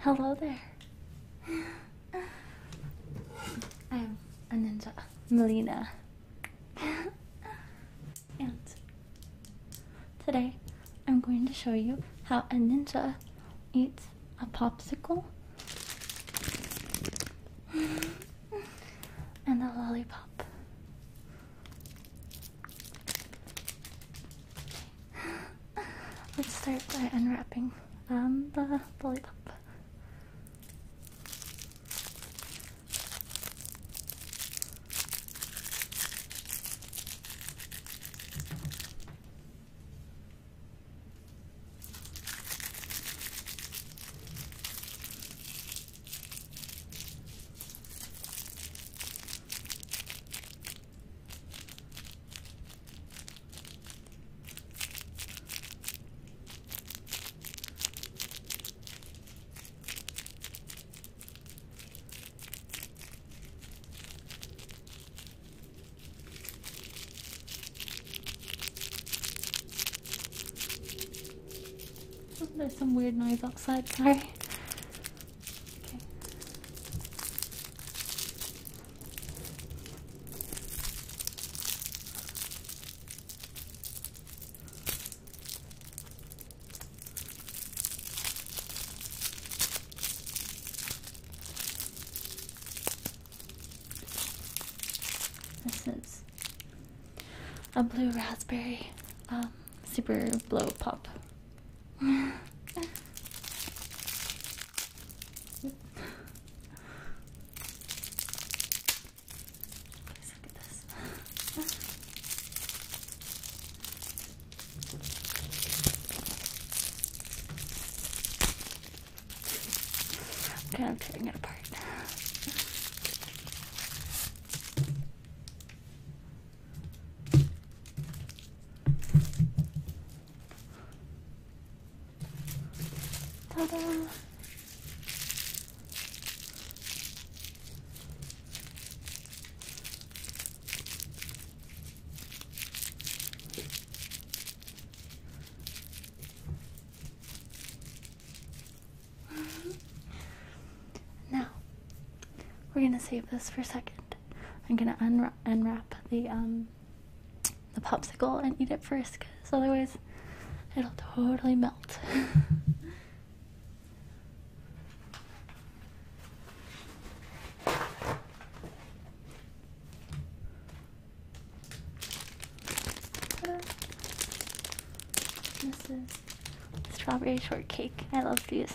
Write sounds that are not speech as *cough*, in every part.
Hello there. I'm a ninja, Melina. and today I'm going to show you how a ninja eats a popsicle and a lollipop. Let's start by unwrapping um, the lollipop. Oh, there's some weird noise outside, sorry. Okay. This is a blue raspberry um, super blow pop. *laughs* Yep. Please look at this. okay, I'm tearing it apart. Ta-da! now, we're going to save this for a second. I'm gonna unwrap, the um, the popsicle and eat it first, cause otherwise it'll totally melt. *laughs* this is strawberry shortcake. I love these.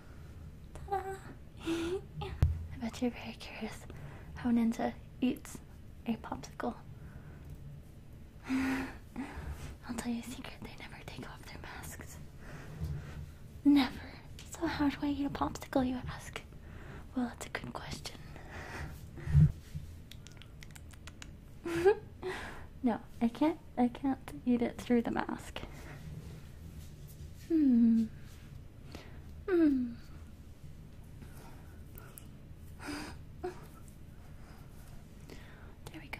*laughs* I bet you're very curious how Ninja eats a popsicle. *sighs* I'll tell you a secret, they never take off their masks. Never. So how do I eat a popsicle, you ask? Well, that's a good question. *laughs* no, I can't I can't eat it through the mask. Hmm. Mm. There we go.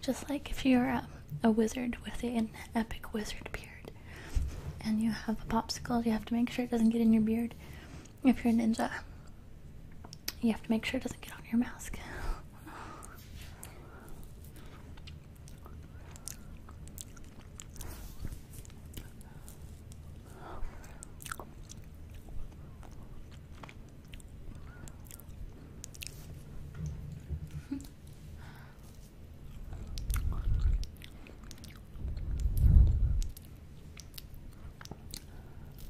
Just like if you're a, wizard with an epic wizard beard and you have a popsicle, you have to make sure it doesn't get in your beard if you're a ninja, you have to make sure it doesn't get on your mask.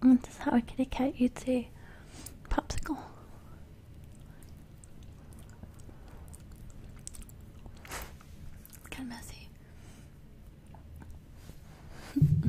And this is how a kitty cat you'd say popsicle. It's kind of messy. *laughs*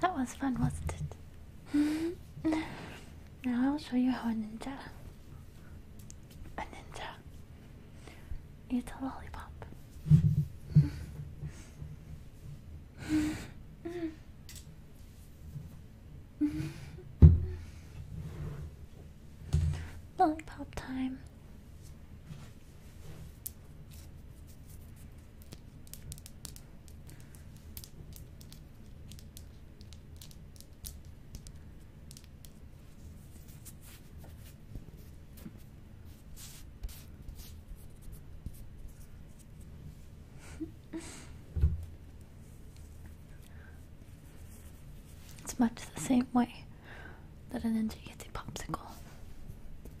That was fun, wasn't it? Mm-hmm. now I'll show you how a ninja. A ninja. Eats a lollipop. Lollipop time it's much the same way that an ninja gets a popsicle.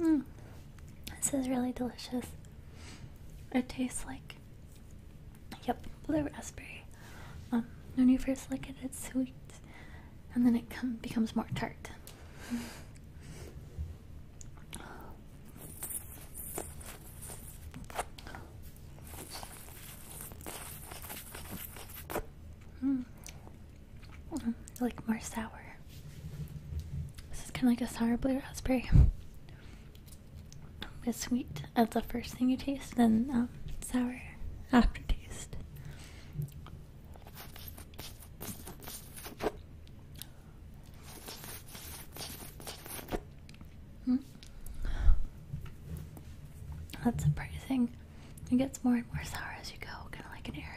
Mm. This is really delicious. It tastes like, yep, blue raspberry. Um, when you first lick it, it's sweet, and then it com becomes more tart. Mm. like more sour. This is kind of like a sour blue raspberry. It's sweet as the first thing you taste, then um, sour aftertaste. Hmm? That's surprising. It gets more and more sour as you go, kind of like an airhead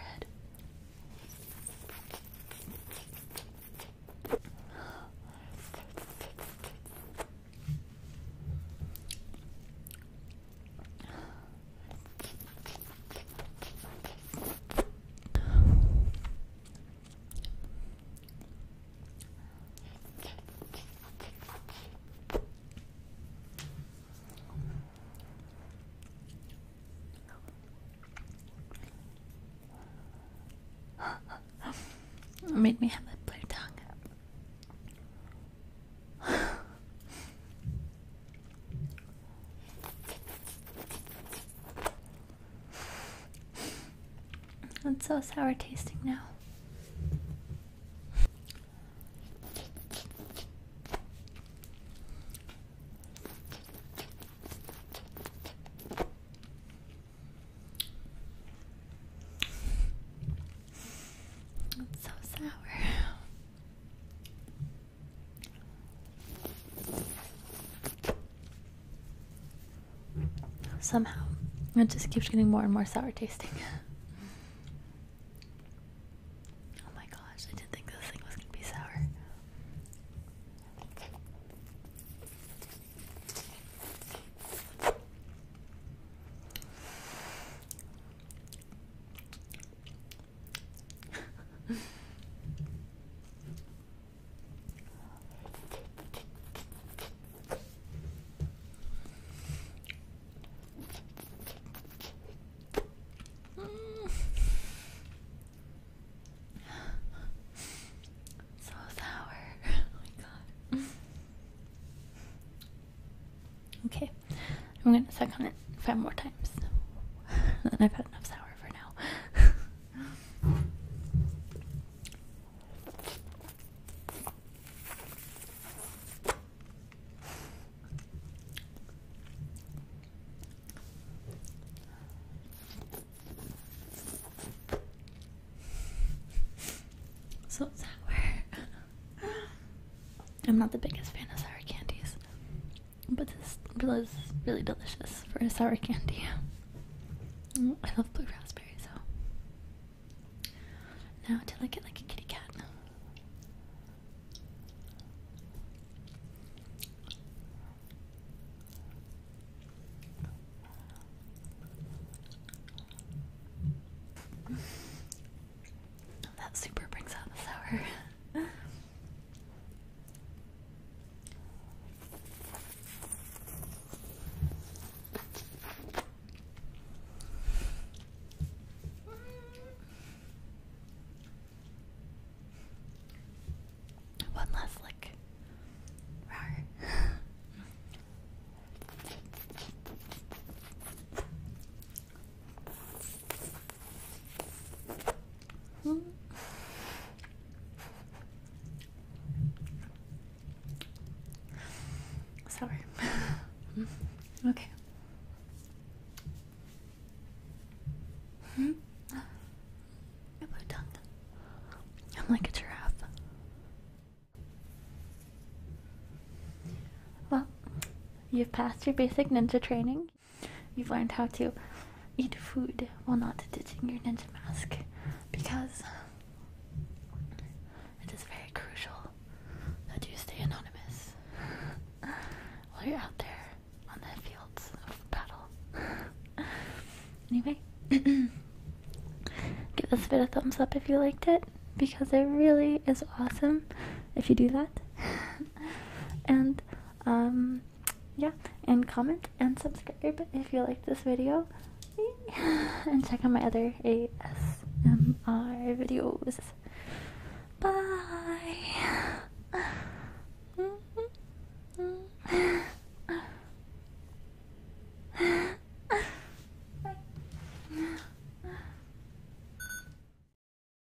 made me have a blue tongue. It's so sour tasting now. It's so sour. Somehow, it just keeps getting more and more sour tasting. *laughs* oh my gosh, I didn't think this thing was gonna be sour so sour. *laughs* Oh my god. *laughs* Okay, I'm gonna suck on it five more times. then *laughs* I've had enough sour for now. *laughs* So sour. *laughs* I'm not the biggest fan of sour candies. But this is really delicious for a sour candy. *laughs* I love blue raspberry, so. Now, till I get like a kitty cat. That super brings out the sour. One last lick. Rar. *laughs* Hmm. Sorry. *laughs* okay. Hmm? I tongue. I'm like a giraffe. Well, you've passed your basic ninja training you've learned how to eat food while not ditching your ninja mask because it is very crucial that you stay anonymous while you're out there on the fields of battle. anyway, *clears throat* give this vid a thumbs up if you liked it because it really is awesome if you do that. *laughs* and um yeah and comment and subscribe if you like this video *laughs* and check out my other ASMR videos. Bye. *laughs*